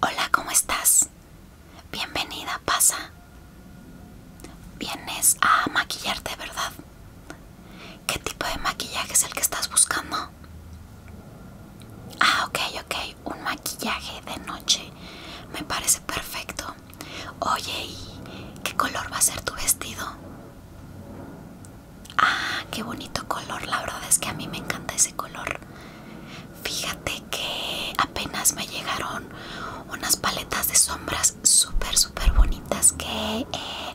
Hola, ¿cómo estás? Bienvenida, pasa. Vienes a maquillarte, ¿verdad? ¿Qué tipo de maquillaje es el que estás buscando? Ah, ok, ok, un maquillaje de noche. Me parece perfecto. Oye, ¿y qué color va a ser tu vestido? Ah, qué bonito color. La verdad es que a mí me encanta ese color. Fíjate que apenas me llegaron unas paletas de sombras súper, súper bonitas que eh,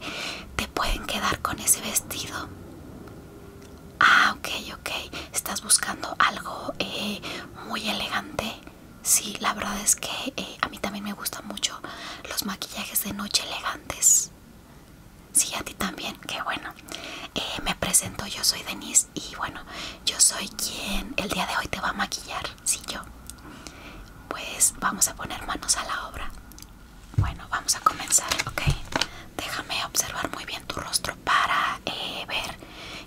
te pueden quedar con ese vestido. Ah, ok, ok. Estás buscando algo eh, muy elegante. Sí, la verdad es que eh, a mí también me gustan mucho los maquillajes de noche elegantes. Sí, a ti también, qué bueno. Eh, me presento, yo soy Denise y bueno, yo soy quien el día de hoy te va a maquillar, sí yo. Pues vamos a poner manos a la obra. Bueno, vamos a comenzar, ok. Déjame observar muy bien tu rostro para eh, ver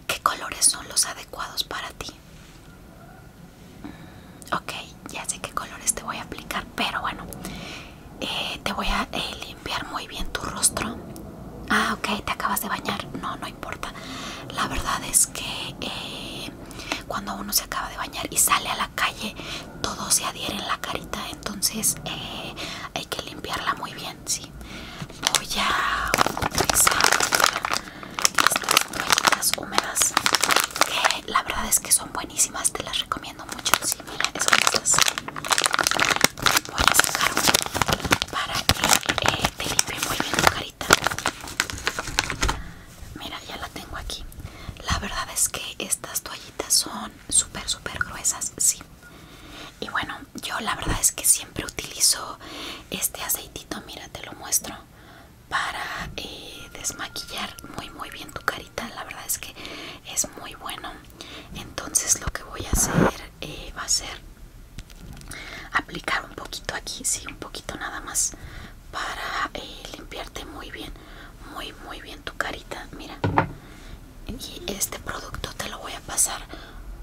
qué colores son los adecuados para ti. Ok, ya sé qué colores te voy a aplicar, pero bueno, eh, te voy a eh, limpiar muy bien tu rostro. Ah, ok, te acabas de bañar. No, no importa. La verdad es que eh, cuando uno se acaba de bañar y sale a la calle, todo se adhiere en la carita, entonces hay que limpiarla muy bien, ¿sí? Voy a utilizar estas toallitas húmedas que la verdad es que son buenísimas, te las recomiendo mucho. Sí, mira, son estas. para que eh, te limpie muy bien tu carita. Mira, ya la tengo aquí. La verdad es que estas toallitas son súper, súper gruesas, sí. Y bueno, yo la verdad es que siempre utilizo este aceitito, mira, te lo muestro para eh, desmaquillar muy muy bien tu carita la verdad es que es muy bueno entonces lo que voy a hacer eh, va a ser aplicar un poquito aquí sí un poquito nada más para eh, limpiarte muy bien muy muy bien tu carita mira y este producto te lo voy a pasar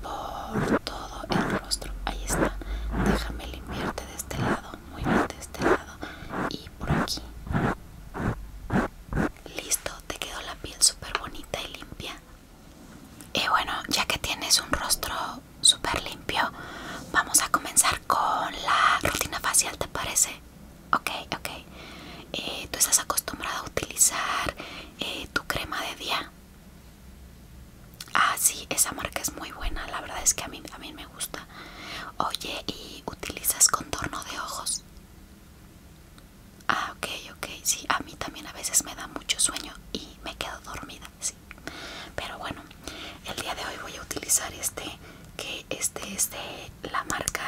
por todo el rostro ahí está déjame limpiarte de este lado muy bien de este lado y por aquí. Listo, te quedó la piel súper bonita y limpia. Y bueno, ya que tienes un rostro súper limpio, vamos a comenzar con la rutina facial, ¿te parece? Ok, ok. Eh, ¿Tú estás acostumbrada a utilizar eh, tu crema de día? Ah, sí, esa marca es muy buena, la verdad es que a mí, a mí me gusta. Oye, ¿y utilizas contorno de ojos? Ah, ok, ok, sí, a mí también a veces me da mucho sueño y me quedo dormida, sí. Pero bueno, el día de hoy voy a utilizar este, que este es de la marca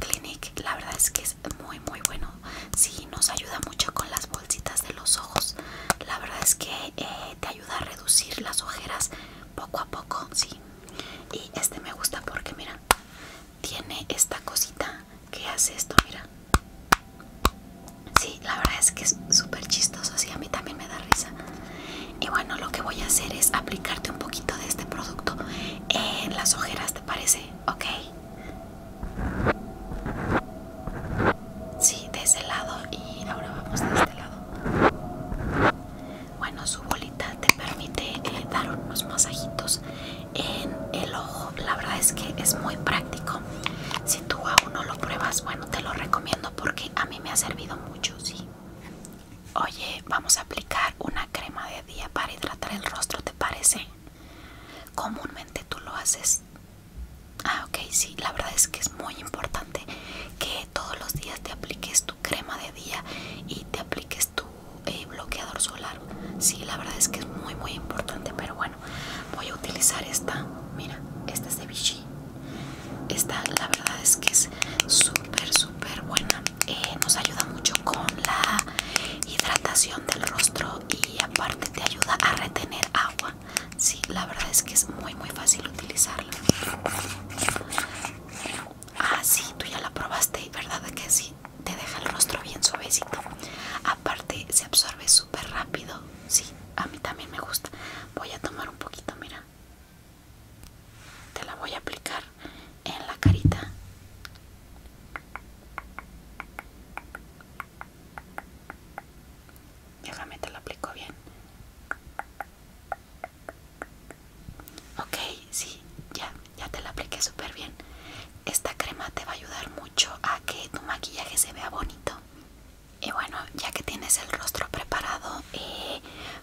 Clinique. La verdad es que es muy, muy bueno. Sí, nos ayuda mucho con las bolsitas de los ojos. La verdad es que eh, te ayuda a reducir las ojeras poco a poco, sí. Y este me gusta porque mira, tiene esta cosita que hace esto, mira. Sí, la verdad es que es súper chistoso, así a mí también me da risa. Y bueno, lo que voy a hacer es aplicarte un poquito de este producto en las ojeras, ¿te parece? Ok. Sí, de ese lado y ahora vamos de este lado. Bueno, su bolita te permite eh, dar unos masajitos en el ojo. La verdad es que es muy práctico. Si tú aún no lo pruebas, bueno, te lo recomiendo porque a mí me ha servido mucho, sí. Oye, vamos a aplicar una crema de día para hidratar el rostro, ¿te parece? Comúnmente tú lo haces Ah, ok, sí, la verdad es que es muy importante que todos los días te apliques tu crema de día y te apliques tu eh, bloqueador solar. Sí, la verdad es que es muy, muy importante, pero bueno, voy a utilizar esta. Mira, esta es de Vichy. Esta, la verdad es que es súper, súper buena. Eh, nos ayuda mucho con la hidratación del rostro y aparte te ayuda a retener agua Sí, la verdad es que es muy muy fácil utilizarla. Ah, sí, tú ya la probaste, ¿verdad? Que sí, te deja el rostro bien suavecito. Aparte, se absorbe súper rápido. Sí, a mí también me gusta. Voy a tomar un poquito, mira. Te la voy a aplicar en la carita. Déjame te lo aplico bien. Ok, sí, ya, ya te la apliqué súper bien. Esta crema te va a ayudar mucho a que tu maquillaje se vea bonito. Y bueno, ya que tienes el rostro preparado, eh,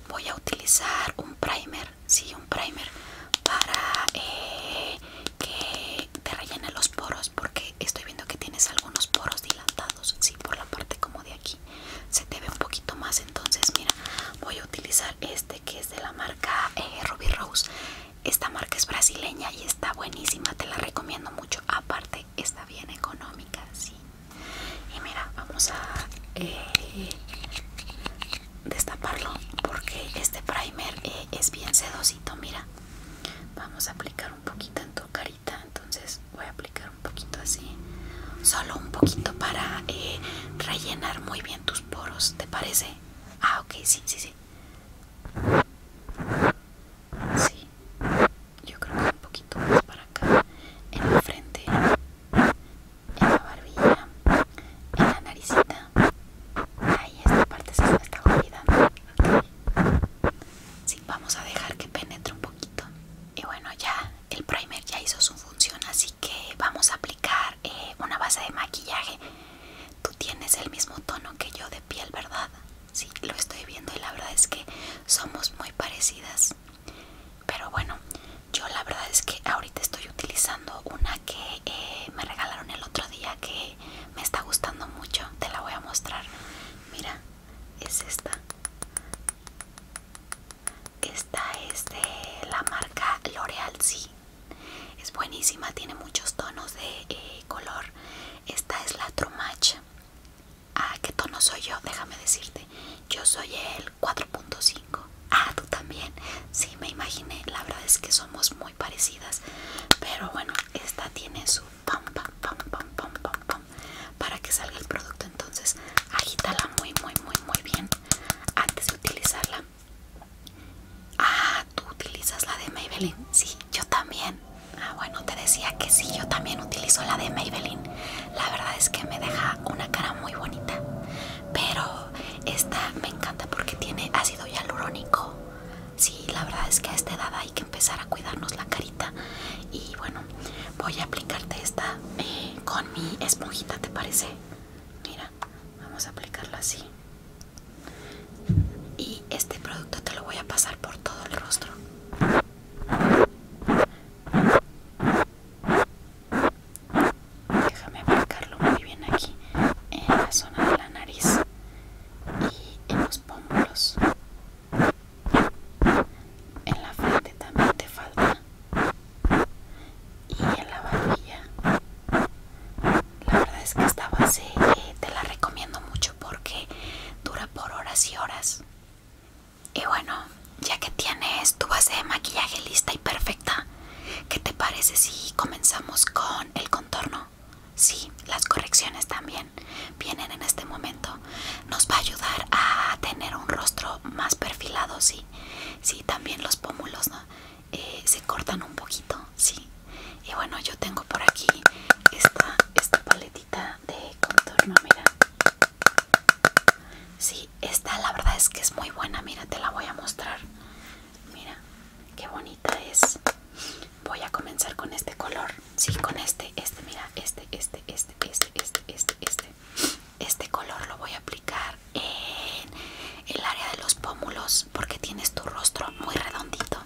voy a utilizar un primer, sí, un primer para eh, que te rellene los poros porque estoy viendo que tienes algunos poros dilatados por la parte como de aquí se te ve un poquito más. Entonces, mira, voy a utilizar este que es de la marca eh, Ruby Rose. Esta marca es brasileña y está buenísima, te la recomiendo mucho. Aparte, está bien económica, Y mira, vamos a eh, destaparlo porque este primer eh, es bien sedosito. Mira, vamos a aplicar un poquito en tu cara entonces voy a aplicar un poquito así solo un poquito para eh, rellenar muy bien tus poros te parece ah ok sí sí sí sí yo creo que un poquito más para acá en la frente en la barbilla en la naricita ahí esta parte se me está olvidando sí vamos a dejar que penetre un poquito. Y bueno, ya el primer ya hizo su función, así que vamos a aplicar eh, una base de maquillaje. Tú tienes el mismo tono que yo de piel, ¿verdad? Sí, lo estoy viendo y la verdad es que somos muy parecidas. Pero bueno, yo la verdad es que ahorita estoy utilizando una que eh, me regalaron el otro día que me está gustando mucho. Te la voy a mostrar. Mira, es esta esta es de la marca L'Oreal sí es buenísima tiene muchos tonos de eh, color esta es la True ah qué tono soy yo déjame decirte yo soy el 4.5 ah tú también sí me imaginé la verdad es que somos muy parecidas pero bueno esta tiene su para que salga el producto. Entonces, agítala muy, muy, muy, muy bien antes de utilizarla. Ah, tú utilizas la de Maybelline. Sí, yo también. Ah, bueno, te decía que sí, yo también utilizo la de Maybelline. La verdad es que me deja una cara muy bonita. Pero esta me encanta porque tiene ácido hialurónico sí, la verdad es que a esta edad hay que empezar a cuidarnos la carita. Y bueno, voy a aplicarte esta eh, con mi esponjita, ¿te parece? Mira, vamos a aplicarlo así. Y este producto te lo voy a pasar por todo el rostro. Déjame aplicarlo muy bien aquí en la zona de la nariz y en los pómulos. En la frente también te falta. Y en la barbilla. La verdad es que esta base eh, te la recomiendo mucho porque dura por horas y horas. Y bueno, ya que tienes tu base de maquillaje lista y perfecta, ¿qué te parece si comenzamos con el contorno? Sí, las correcciones también vienen en este momento. Nos va a ayudar a tener un rostro más perfilado, sí. Sí, también los pómulos, eh, se cortan un poquito, sí. Y bueno, yo tengo por aquí esta, esta paletita de contorno, mira. Sí, esta la verdad es que es muy buena, mira, te la voy a mostrar. Mira, qué bonita es voy a comenzar con este color sí con este este mira este este este este este este este este color lo voy a aplicar en el área de los pómulos porque tienes tu rostro muy redondito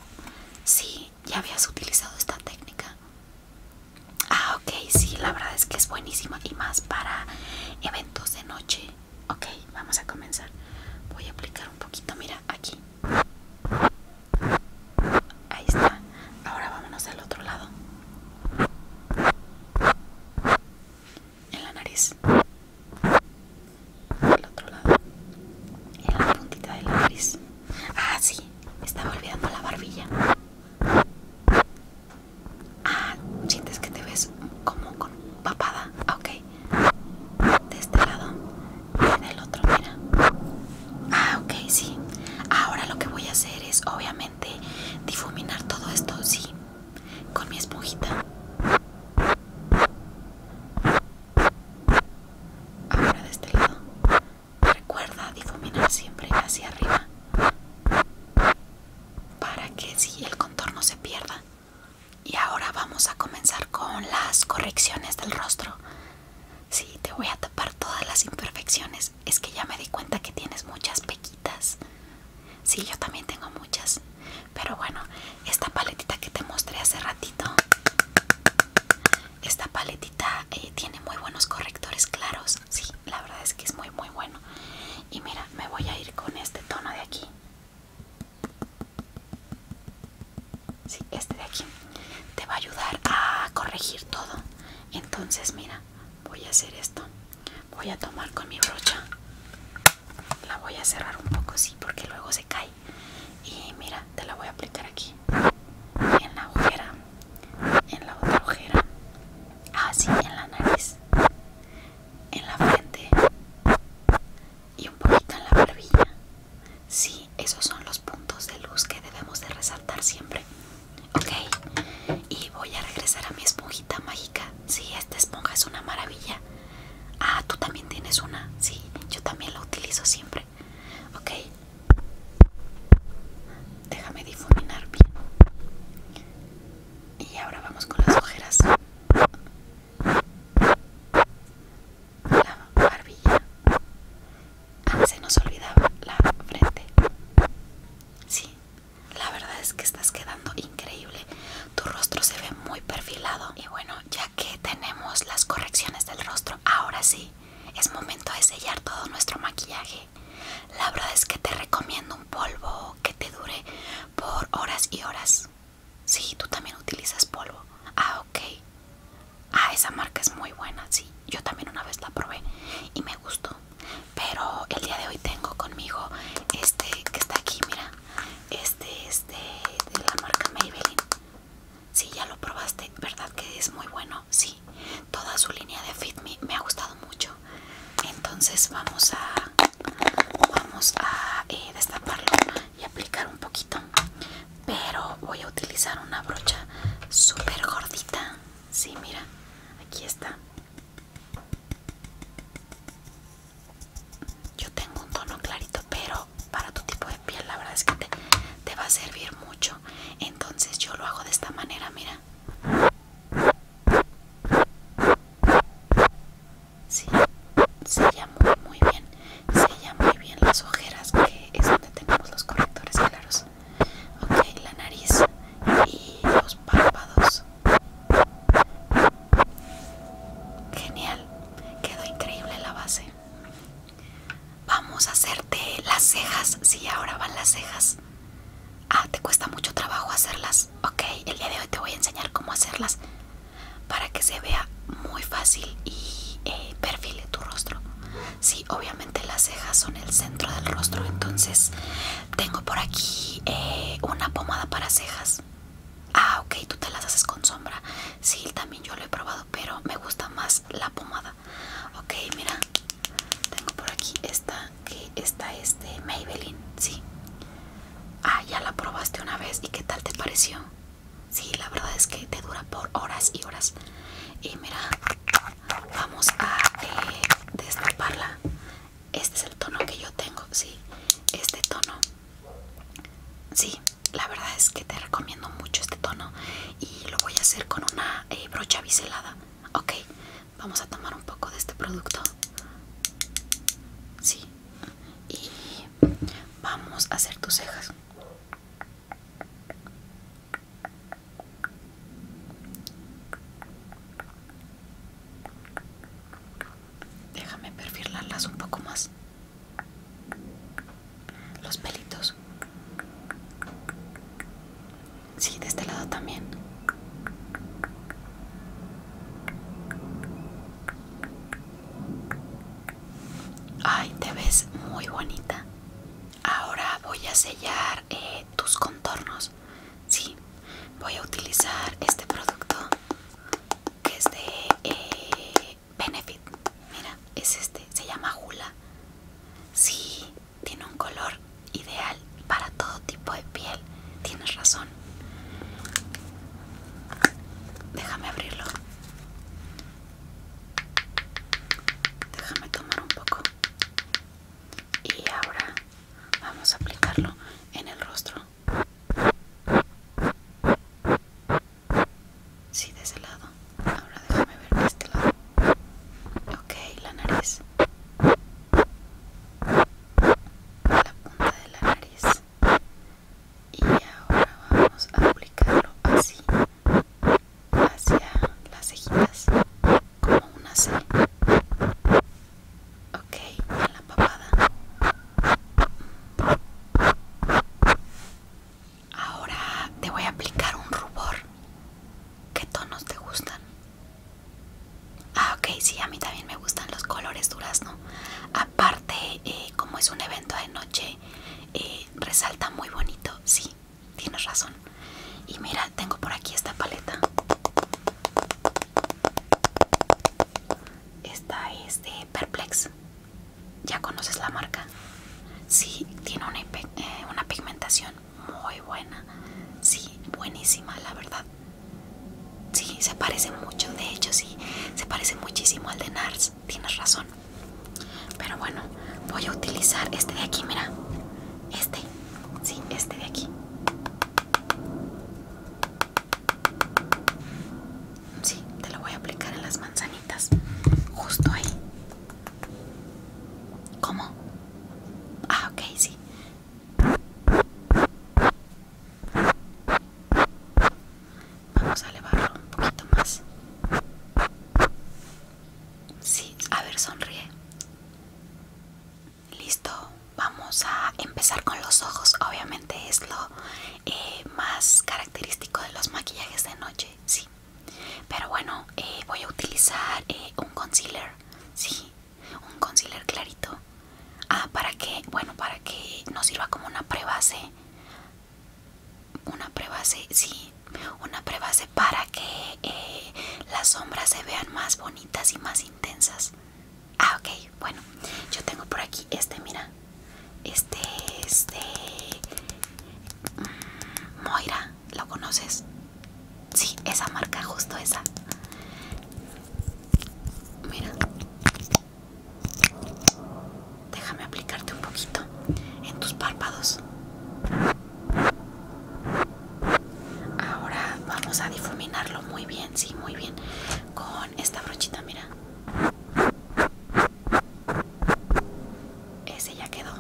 sí ya habías utilizado esta técnica ah ok sí la verdad es que es buenísima y más para eventos de noche ok vamos a comenzar voy a aplicar un poquito mira aquí Ahí está. Ahora vámonos al otro lado. En la nariz. Al otro lado. En la puntita de la nariz. Ah, sí. Estaba olvidando la barbilla. Ah, sientes que te ves como con papada. Ok. De este lado el otro, mira. Ah, ok, sí. Ahora lo que voy a hacer es, obviamente, difuminar todo esto, sí, con mi esponjita. Ahora de este lado. Recuerda difuminar siempre hacia arriba. Para que si el contorno se pierda. Y ahora vamos a comenzar con las correcciones del rostro. Sí, te voy a tapar todas las imperfecciones. Es que ya me di cuenta que tienes muchas pequitas. Sí, yo también tengo muchas. Pero bueno, esta paletita que te mostré hace ratito. Esta paletita eh, tiene muy buenos correctores claros. Sí, la verdad es que es muy muy bueno. Y mira, me voy a ir con este tono de aquí. Sí, este de aquí te va a ayudar a corregir todo. Entonces, mira, voy a hacer esto. Voy a tomar con mi brocha. La voy a cerrar un poco, así porque luego se cae. Y mira, te la voy a aplicar aquí. En la ojera. En la otra ojera. Así, ah, en la nariz. En la frente. Y un poquito en la barbilla. Sí, esos son los puntos de luz que debemos de resaltar siempre. Ok, y voy a regresar a mi esponjita mágica. Sí, esta esponja es una maravilla. Ah, tú también tienes una. Sí, yo también la utilizo siempre. Ok. Déjame difuminar bien. Y ahora vamos con las ojeras la barbilla. Ah, se nos olvidaba la frente. Sí, la verdad es que estás quedando increíble. Tu rostro se ve muy perfilado. Y bueno, ya que tenemos las correcciones del rostro, ahora sí, es momento de sellar todo nuestro maquillaje. La verdad es que te recomiendo un polvo que te dure por horas y horas. Sí, tú también utilizas polvo. Ah, ok. Ah, esa marca es muy buena, sí. Yo también una vez la probé y me gustó. Pero el día de hoy tengo conmigo este que está aquí, mira. Este es de, la marca Maybelline. si ya lo probaste, ¿verdad que es muy bueno? Sí. Toda su línea de Fit Me ha gustado mucho. Entonces vamos a vamos a eh, destaparlo y aplicar un poquito pero voy a utilizar una brocha super gordita si mira aquí está yo tengo un tono clarito pero para tu tipo de piel la verdad es que te, va a servir mucho entonces yo lo hago de esta manera mira Sí, sella muy bien sella muy bien las ojeras que es donde tenemos los correctores claros ok la nariz y los párpados genial quedó increíble la base vamos a hacerte las cejas sí ahora van las cejas ah te cuesta mucho trabajo hacerlas ok el día de hoy te voy a enseñar cómo hacerlas para que se vea muy fácil y eh, perfile tu rostro. Sí, obviamente las cejas son el centro del rostro, entonces tengo por aquí eh, una pomada para cejas. Ah, ok, tú te las haces con sombra. Sí, también yo lo he probado, pero me gusta más la pomada. Ok, mira, tengo por aquí esta, que está es de Maybelline, sí. Ah, ya la probaste una vez y qué tal te pareció. Sí, la verdad es que te dura por horas y horas. Y mira, vamos a eh, destaparla. Este es el tono que yo tengo, sí. Este tono. Sí, la verdad es que te recomiendo mucho este tono. Y lo voy a hacer con una eh, brocha biselada. Ok, vamos a tomar un poco de este producto. Sí. Y vamos a hacer tus cejas. Déjame perfilarlas un poco más. Los pelitos. Sí, de este lado también. Ay, te ves muy bonita. Ahora voy a sellar eh, tus contornos. Sí, voy a utilizar este producto que es de eh, Benefit. Mira, es este, se llama Hula. Sí, tiene un color ideal para todo tipo de piel. Tienes razón. Déjame abrirlo. Déjame tomar un poco. Y ahora vamos a aplicarlo en el rostro. Sí, de ese lado. Ahora déjame ver de este lado. Ok, la nariz. La punta de la nariz y ahora vamos a aplicarlo así hacia las cejitas como una C ok en la papada ahora te voy a aplicar un rubor ¿qué tonos te gustan? ah ok sí a mí también me gustan los colores durazno no Parte eh, como es un evento de noche eh, resalta muy bonito sí tienes razón y mira tengo por aquí esta paleta esta es de perplex ya conoces la marca sí tiene una eh, pigmentación muy buena sí buenísima la verdad sí se parece mucho de hecho sí se parece muchísimo al de nars tienes, razón. Pero bueno, voy a utilizar este de aquí, mira. Este, sí, este de aquí. Sí, te lo voy a aplicar en las manzanitas. Justo ahí. ¿Cómo? Ah, ok, sí. Vamos a elevarlo un poquito más. Sí, a ver, sonríe. Listo, vamos a empezar con los ojos. Obviamente es lo eh, más característico de los maquillajes de noche, sí. Pero bueno, eh, voy a utilizar eh, un concealer, sí, un concealer clarito. Ah, para que, bueno, para que nos sirva como una prebase una prueba sí, una prueba para que eh, las sombras se vean más bonitas y más intensas. Ah, ok, bueno, yo tengo por aquí este, mira, este este Moira, ¿lo conoces? Sí, esa marca, justo esa. Mira, Déjame aplicarte un poquito en tus párpados. Ahora vamos a difuminarlo muy bien, sí, muy bien. Con esta brochita, mira. Ese ya quedó.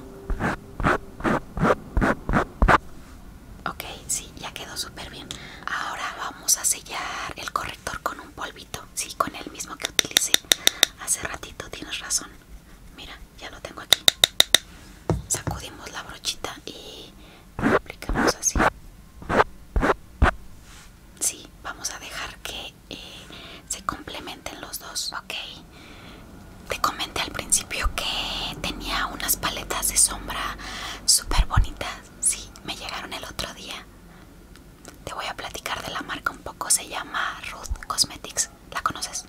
Ok, sí, ya quedó súper bien. Ahora vamos a sellar el corrector con un polvo sí, con el mismo que utilicé hace ratito, tienes razón. Mira, ya lo tengo aquí. Sacudimos la brochita y aplicamos así. Sí, vamos a dejar que eh, se complementen los dos, ok. Te comenté al principio que tenía unas paletas de sombra súper bonitas. Sí, me llegaron el otro día. Te voy a platicar de la marca un poco, se llama Ruth Cosmetics. ¿La conoces?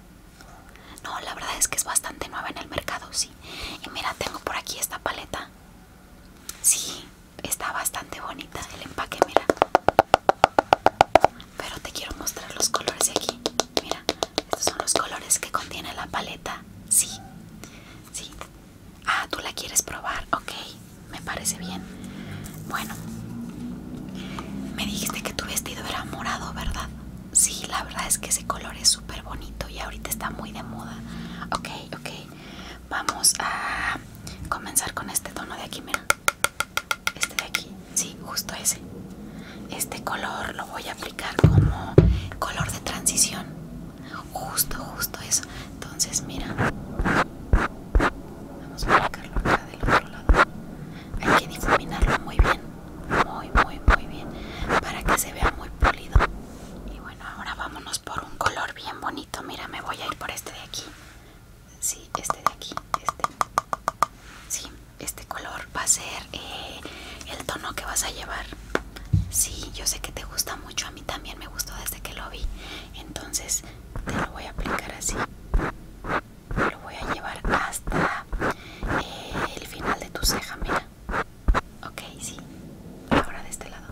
No, la verdad es que es bastante nueva en el mercado, sí. Y mira, tengo por aquí esta paleta. Sí, está bastante bonita el empaque, mira. Pero te quiero mostrar los colores de aquí. Mira, estos son los colores que contiene la paleta. Sí, sí, Ah, tú la quieres probar, ok, me parece bien. Bueno, me dijiste que tu vestido era morado, ¿verdad? Sí, la verdad es que ese color es súper bonito y ahorita está muy de moda. Ok, ok, vamos a comenzar con este tono de aquí, mira. Este de aquí, sí, justo ese. Este color lo voy a aplicar como color de transición. Justo, justo eso entonces mira vamos a aplicarlo acá del otro lado hay que difuminarlo muy bien muy muy muy bien para que se vea muy pulido y bueno ahora vámonos por un color bien bonito mira me voy a ir por este de aquí sí este de aquí este sí este color va a ser eh, el tono que vas a llevar Sí, yo sé que te gusta mucho, a mí también me gustó desde que lo vi. Entonces, te lo voy a aplicar así lo voy a llevar hasta eh, el final de tu ceja mira ok sí ahora de este lado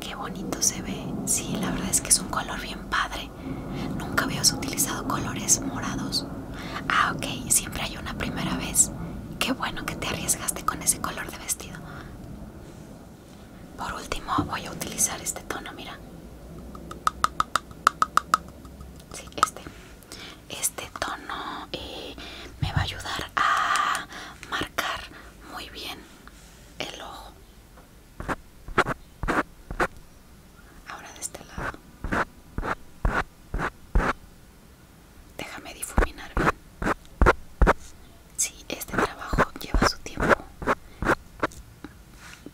qué bonito se ve sí la verdad es que es un color bien padre nunca habías utilizado colores morados ah ok siempre hay una primera vez qué bueno que te arriesgaste con ese color de vestido por último voy a utilizar este tono, mira. Sí, este. Este tono eh, me va a ayudar a marcar muy bien el ojo. Ahora de este lado. Déjame difuminar. si este trabajo lleva su tiempo.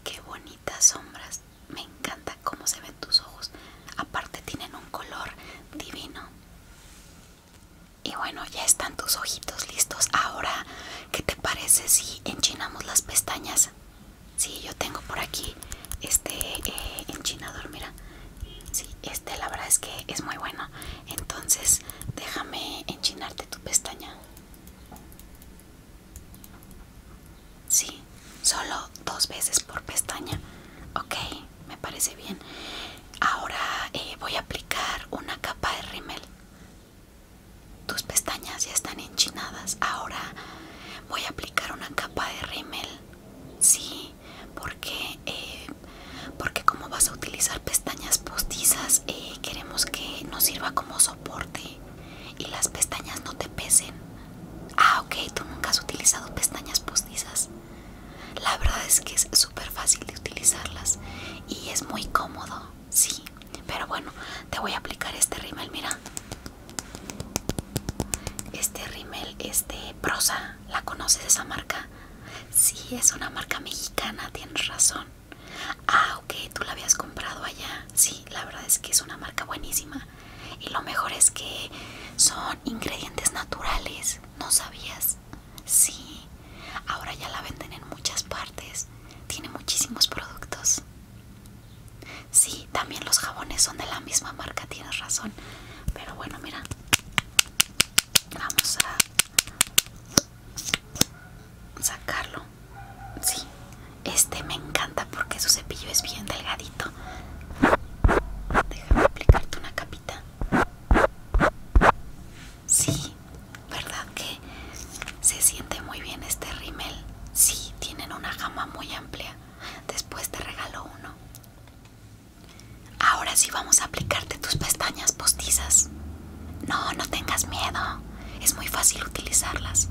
Qué bonitas sombras. Me encanta cómo se ven tus ojos. Aparte tienen un color divino. Y bueno, ya están tus ojitos listos. Ahora, ¿qué te parece si enchinamos las pestañas? Sí, yo tengo por aquí este eh, enchinador, mira. Sí, este la verdad es que es muy bueno. Entonces, déjame enchinarte tu pestaña. Sí, solo dos veces por pestaña. Ok, me parece bien. Ahora eh, voy a aplicar una capa de rímel. Tus pestañas ya están enchinadas. Ahora voy a aplicar una capa de rímel. Sí, porque eh, porque como vas a utilizar pestañas postizas eh, queremos que nos sirva como soporte y las pestañas no te pesen ah ok tú nunca has utilizado pestañas postizas la verdad es que es súper fácil de utilizarlas y es muy cómodo sí pero bueno te voy a aplicar este rímel mira este rímel es de prosa la conoces esa marca Sí, es una marca mexicana, tienes razón. Ah, ok, tú la habías comprado allá. Sí, la verdad es que es una marca buenísima. Y lo mejor es que son ingredientes naturales. ¿No sabías? Sí, ahora ya la venden en muchas partes. Tiene muchísimos productos. Sí, también los jabones son de la misma marca, tienes razón. Pero bueno, mira vamos a sacarlo sí este me encanta porque su cepillo es bien delgadito déjame aplicarte una capita sí verdad que se siente muy bien este rímel sí tienen una gama muy amplia después te regalo uno Ahora sí vamos a aplicarte tus pestañas postizas. No, no tengas miedo. Es muy fácil utilizarlas.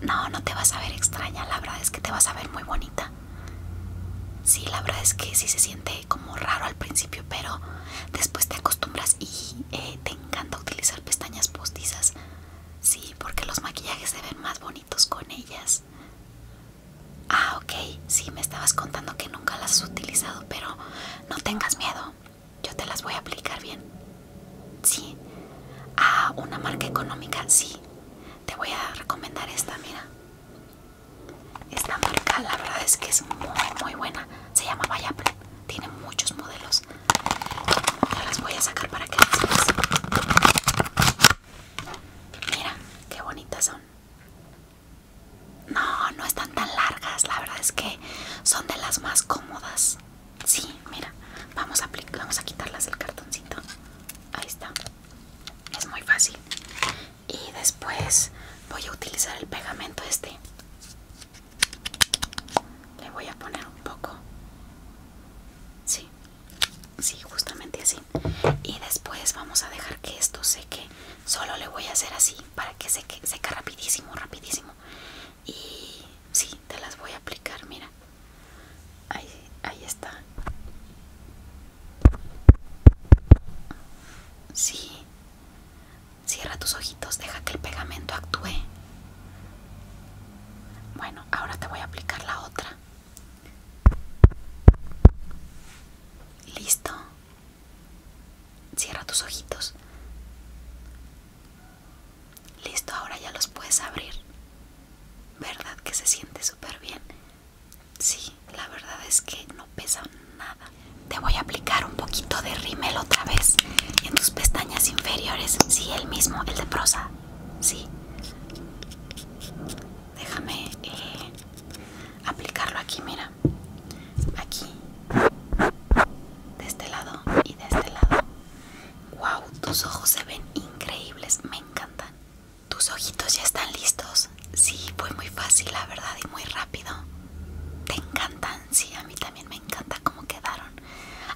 No, no te vas a ver extraña. La verdad es que te vas a ver muy bonita. Sí, la verdad es que sí se siente como raro al principio, pero después te acostumbras y eh, te encanta utilizar pestañas postizas. Sí, porque los maquillajes se ven más bonitos con ellas. Ah, ok, sí, me estabas contando que nunca las has utilizado, pero no tengas miedo, yo te las voy a aplicar bien. Sí. a ah, una marca económica, sí. Te voy a recomendar esta, mira. Esta marca, la verdad es que es muy, muy buena. Se llama Vaya. tiene muchos modelos. las voy a sacar para que las veas. Mira, qué bonitas son. No, no están tan largas. La verdad es que son de las más cómodas. Sí, mira, vamos a, a quitarlas del cartoncito. Ahí está. Es muy fácil. Y después voy a utilizar el pegamento este. Le voy a poner un poco. Sí, sí, justamente así y después vamos a dejar que esto seque solo le voy a hacer así para que seque seca rapidísimo rapidísimo y sí te las voy a aplicar mira ahí, ahí está sí cierra tus ojitos deja que el pegamento actúe bueno ahora te voy a aplicar la otra Listo. Cierra tus ojitos. Listo, ahora ya los puedes abrir. ¿Verdad que se siente súper bien? Sí, la verdad es que no pesa nada. Te voy a aplicar un poquito de rímel otra vez en tus pestañas inferiores. Sí, el mismo, el de prosa. Sí déjame eh, aplicarlo aquí, mira, aquí, de este lado y de este lado. Wow, tus ojos se ven increíbles, me encantan. Tus ojitos ya están listos. Sí, fue muy fácil, la verdad, y muy rápido. Te encantan, sí, a mí también me encanta cómo quedaron.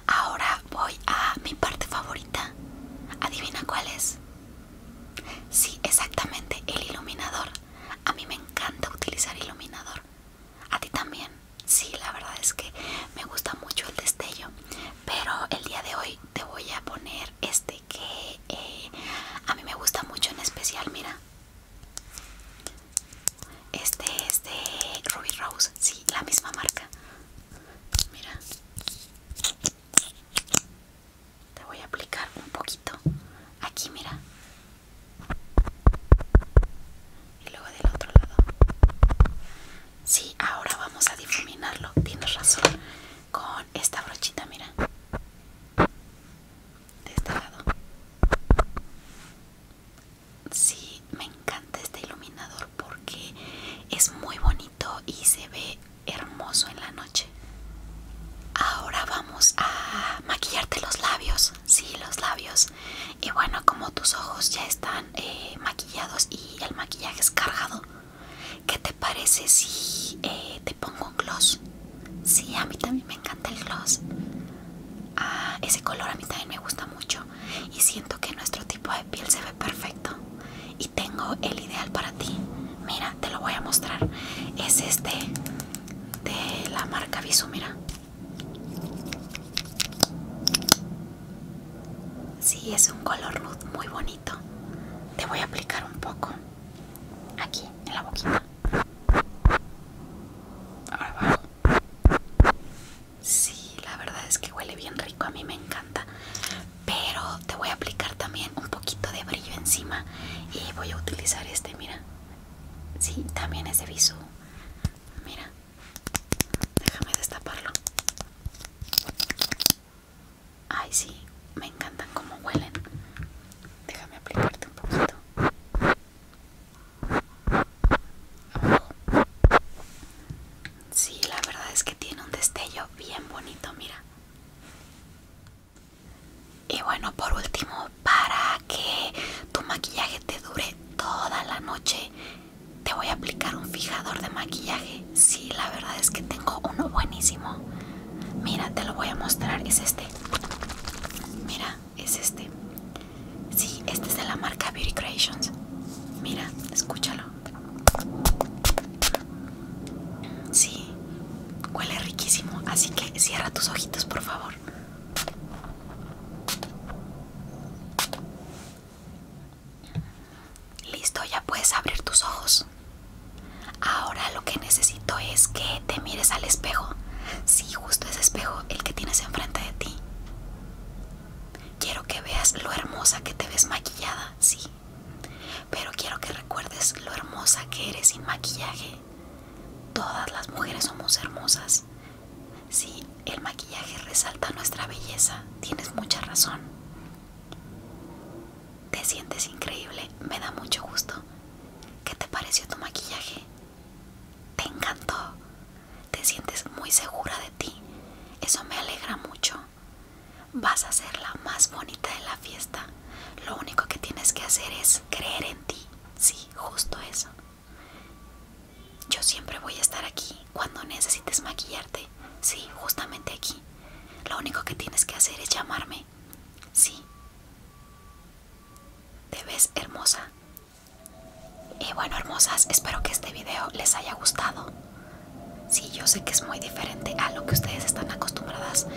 Ahora voy a mi parte favorita. Adivina cuál es. Sí, exactamente, el iluminador. A mí me encanta utilizar iluminador. A ti también. Sí, la verdad es que me gusta mucho el destello. Pero el día de hoy te voy a poner este que eh, a mí me gusta mucho en especial, mira. Este es de Ruby Rose, sí, la misma marca. Mira te voy a aplicar un poquito aquí mira y luego del otro lado sí ahora vamos a difuminarlo tienes razón con esta brochita mira de este lado sí me encanta este iluminador porque es muy bonito y se ve hermoso en la noche. Ahora vamos a maquillarte los labios, sí, los labios. Y bueno, como tus ojos ya están eh, maquillados y el maquillaje es cargado, ¿qué te parece si eh, te pongo un gloss? Sí, a mí también me encanta el gloss. Ah, ese color a mí también me gusta mucho y siento que nuestro tipo de piel se ve perfecto y tengo el ideal para ti mira te lo voy a mostrar es este de la marca visu mira Sí, es un color nude muy bonito. Te voy a aplicar un poco aquí en la boquita. Ahora Sí, la verdad es que huele bien rico, a mí me encanta pero te voy a aplicar también un poquito de brillo encima y voy a utilizar este mira sí también es de viso mira déjame destaparlo ay sí me encantan como huelen déjame aplicarte un poquito sí la verdad es que tiene un destello bien bonito mira y bueno, por último, para que tu maquillaje te dure toda la noche, te voy a aplicar un fijador de maquillaje. Sí, la verdad es que tengo uno buenísimo. Mira, te lo voy a mostrar. Es este. Mira, es este. Sí, este es de la marca Beauty Creations. Mira, escúchalo. Sí, huele riquísimo, así que cierra tus ojitos, por favor. Listo, ya puedes abrir tus ojos. Ahora lo que necesito es que te mires al espejo. Sí, justo ese espejo, el que tienes enfrente de ti. Quiero que veas lo hermosa que te ves maquillada, sí. Pero quiero que recuerdes lo hermosa que eres sin maquillaje. Todas las mujeres somos hermosas. Sí, el maquillaje resalta nuestra belleza. Tienes mucha razón. Te sientes increíble. Me da mucho gusto. ¿Qué te pareció tu maquillaje? Te encantó. Te sientes muy segura de ti. Eso me alegra mucho. Vas a ser la más bonita de la fiesta. Lo único que tienes que hacer es creer en ti. Sí, justo eso. Yo siempre voy a estar aquí cuando necesites maquillarte. Sí, justamente aquí. Lo único que tienes que hacer es llamarme. Sí. Te ves hermosa. Y bueno, hermosas, espero que este video les haya gustado. Sí, yo sé que es muy diferente a lo que ustedes están acostumbradas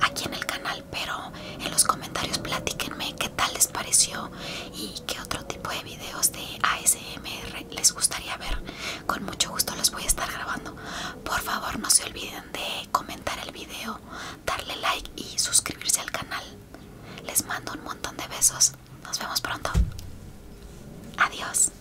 aquí en el canal, pero en los comentarios platíquenme qué tal les pareció y qué otro tipo de videos de ASMR les gustaría ver. Con mucho gusto los voy a estar grabando. Por favor, no se olviden de comentar el video, darle like y suscribirse al canal. Les mando un montón de besos. Nos vemos pronto. Adiós.